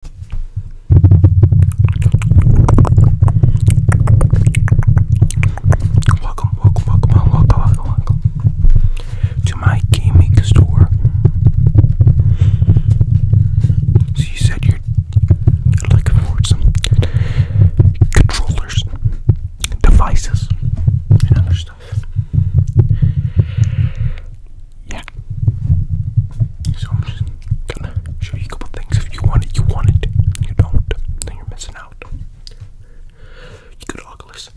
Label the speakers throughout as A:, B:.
A: Welcome, welcome, welcome, welcome, welcome, to my gaming store. So you said you're looking for some controllers, devices, and other stuff yeah. So I'm just gonna show you a couple things. If you want it, you want it. You don't, then you're missing out. You could Oculus.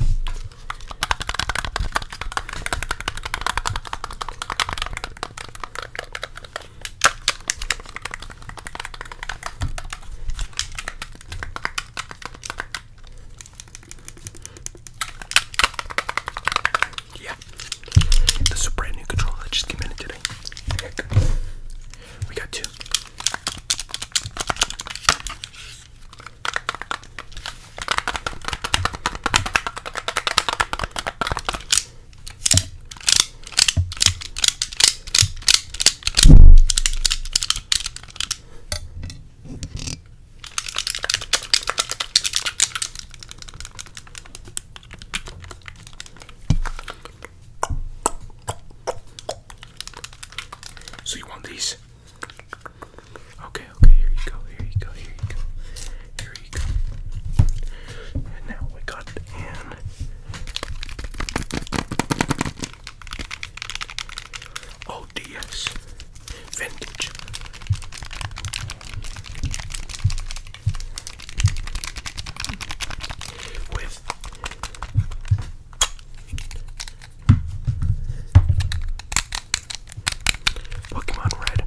A: Yeah. This is brand new controller just came in today. We got two. So you want these? Okay, okay, here you go, here you go, here you go, here you go. And now we got ODS vintage. With Pokemon Red.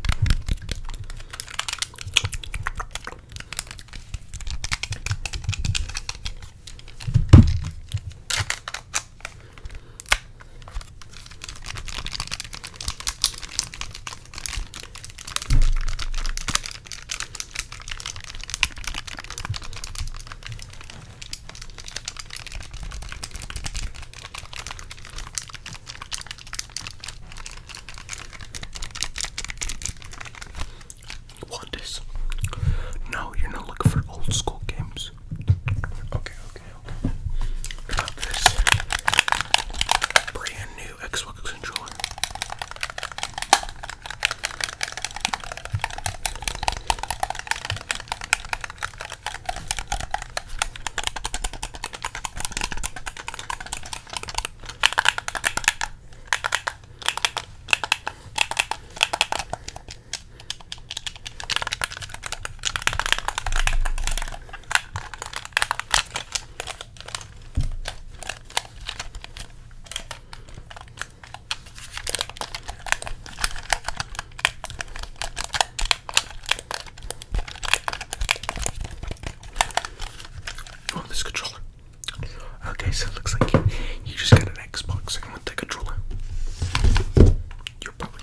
A: Want No, you're not looking for old school games. okay. Got this brand new Xbox controller. Oh, this controller. Okay, so it looks like you just got an Xbox. I can take controller. You're probably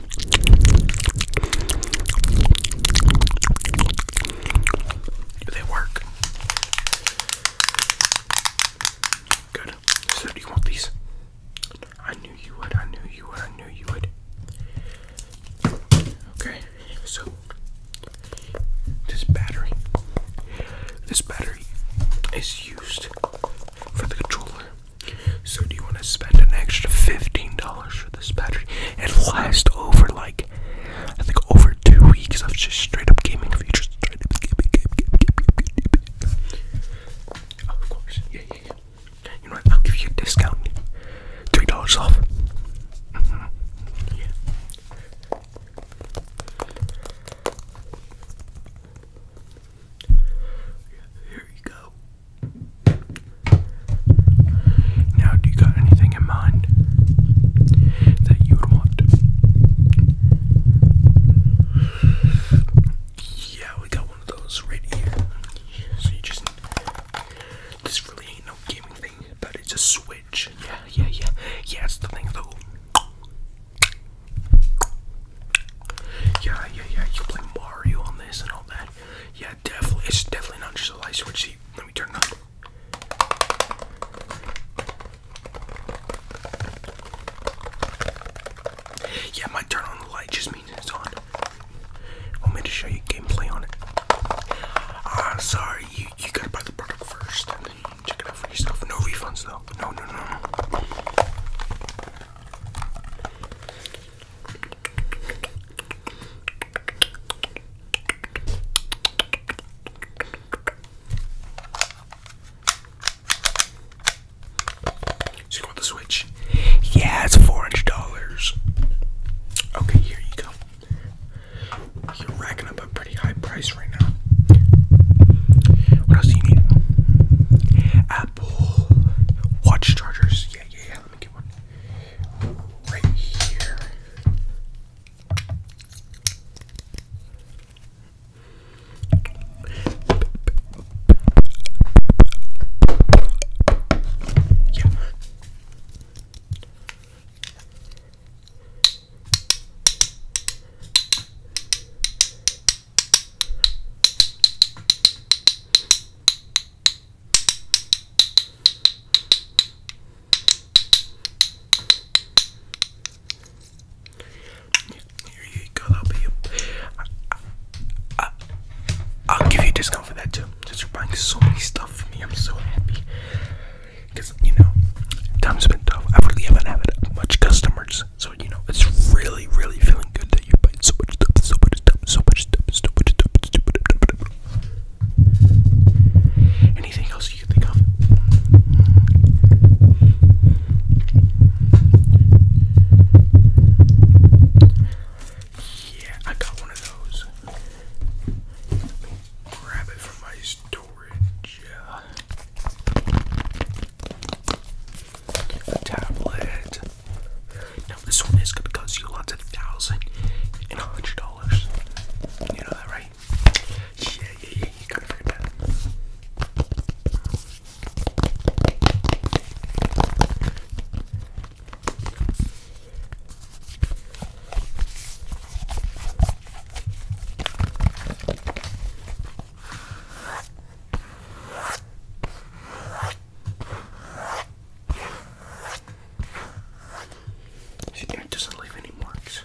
A: They work. Good. So do you want these? I knew you would, I knew you would, I knew you would. Okay, so this battery. This battery is used for the controller. So do you want to spend an extra fifteen dollars for this battery? and last over like I think over two weeks of just straight up gaming features. Straight up gaming, gaming, oh, of course, yeah, yeah, yeah. You know what? I'll give you a discount, three dollars off. Mm-hmm. yeah. Here you go. Now, do you got anything in mind that you would want? Yeah, we got one of those right here. So you just. This really ain't no gaming thing, but it's a switch. Yeah, yeah, yeah. Yeah, it's the thing though. Yeah, yeah, yeah. You play Mario on this and all that. Yeah, definitely. It's definitely not just a light switch. See, let me turn it on. Yeah, my turn on the light just means it's on. Want me to show you gameplay on it? Ah, sorry. You you gotta buy the product first and then you check it out for yourself. No refunds though. No, no, no you want the switch? Yeah, it's four hundred dollars. Okay, here you go. You're racking up a pretty high price right now. What else do you need? Uh, Watch chargers. Yeah, yeah, yeah. Let me get one right here. Yeah. Here you go. I'll I, will give you a discount for that too. Since you're buying so many stuff for me, I'm so happy. Cause you know, time been tough. I really haven't had much customers videos. So you know, it's really, really feeling good that you bite so much stuff, so much stuff, so much stuff, so much stuff, so much stuff. Anything else you can think of? Yeah, I got one of those. Let me grab it from my storage. Uh, the tablet. Now this one is gonna cost you lots of thousand and a hundred dollars. You know that, right? Yeah, yeah, yeah. You gotta forget See, it doesn't leave any marks.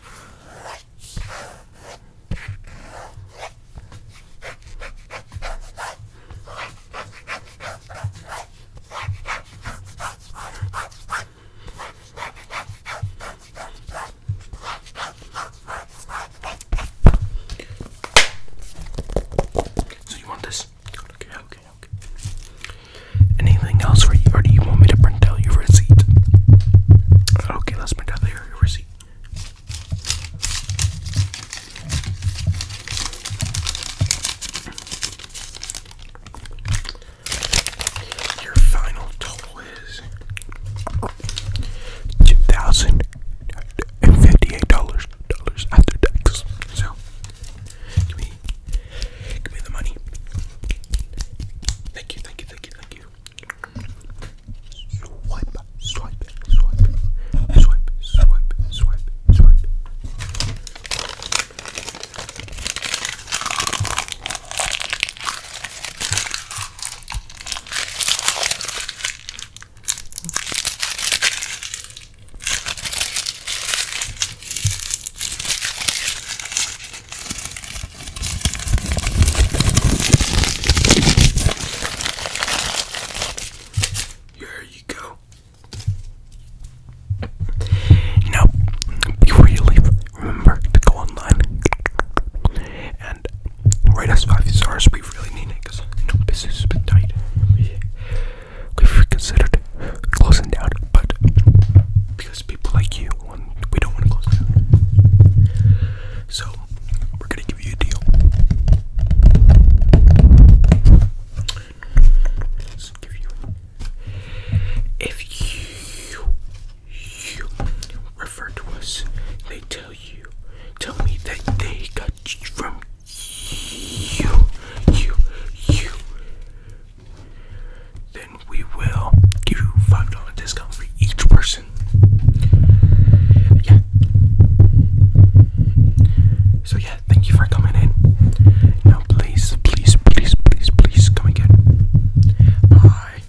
A: So you want this? Okay, okay, okay. Anything else for do you want me to print out your receipt? Okay, let's print out your receipt. Your final total is two thousand and fifty-eight dollars dollars after tax. So give me give me the money. Thank you, thank you, thank you, thank you. Swipe, swipe, swipe, swipe, swipe, swipe, swipe. Here you go. Now, before you leave, remember to go online and rate us five stars. We really need it because you business has been tight. We've considered closing down, but because people like you, we don't want to close down. So we're gonna give you a deal. If you you refer to us, they tell you, tell me that they got from you, you, you, then we will give you $5 discount for each person. Yeah. So, yeah, thank you for coming in. Now, please, please, please, please, please come again. Bye.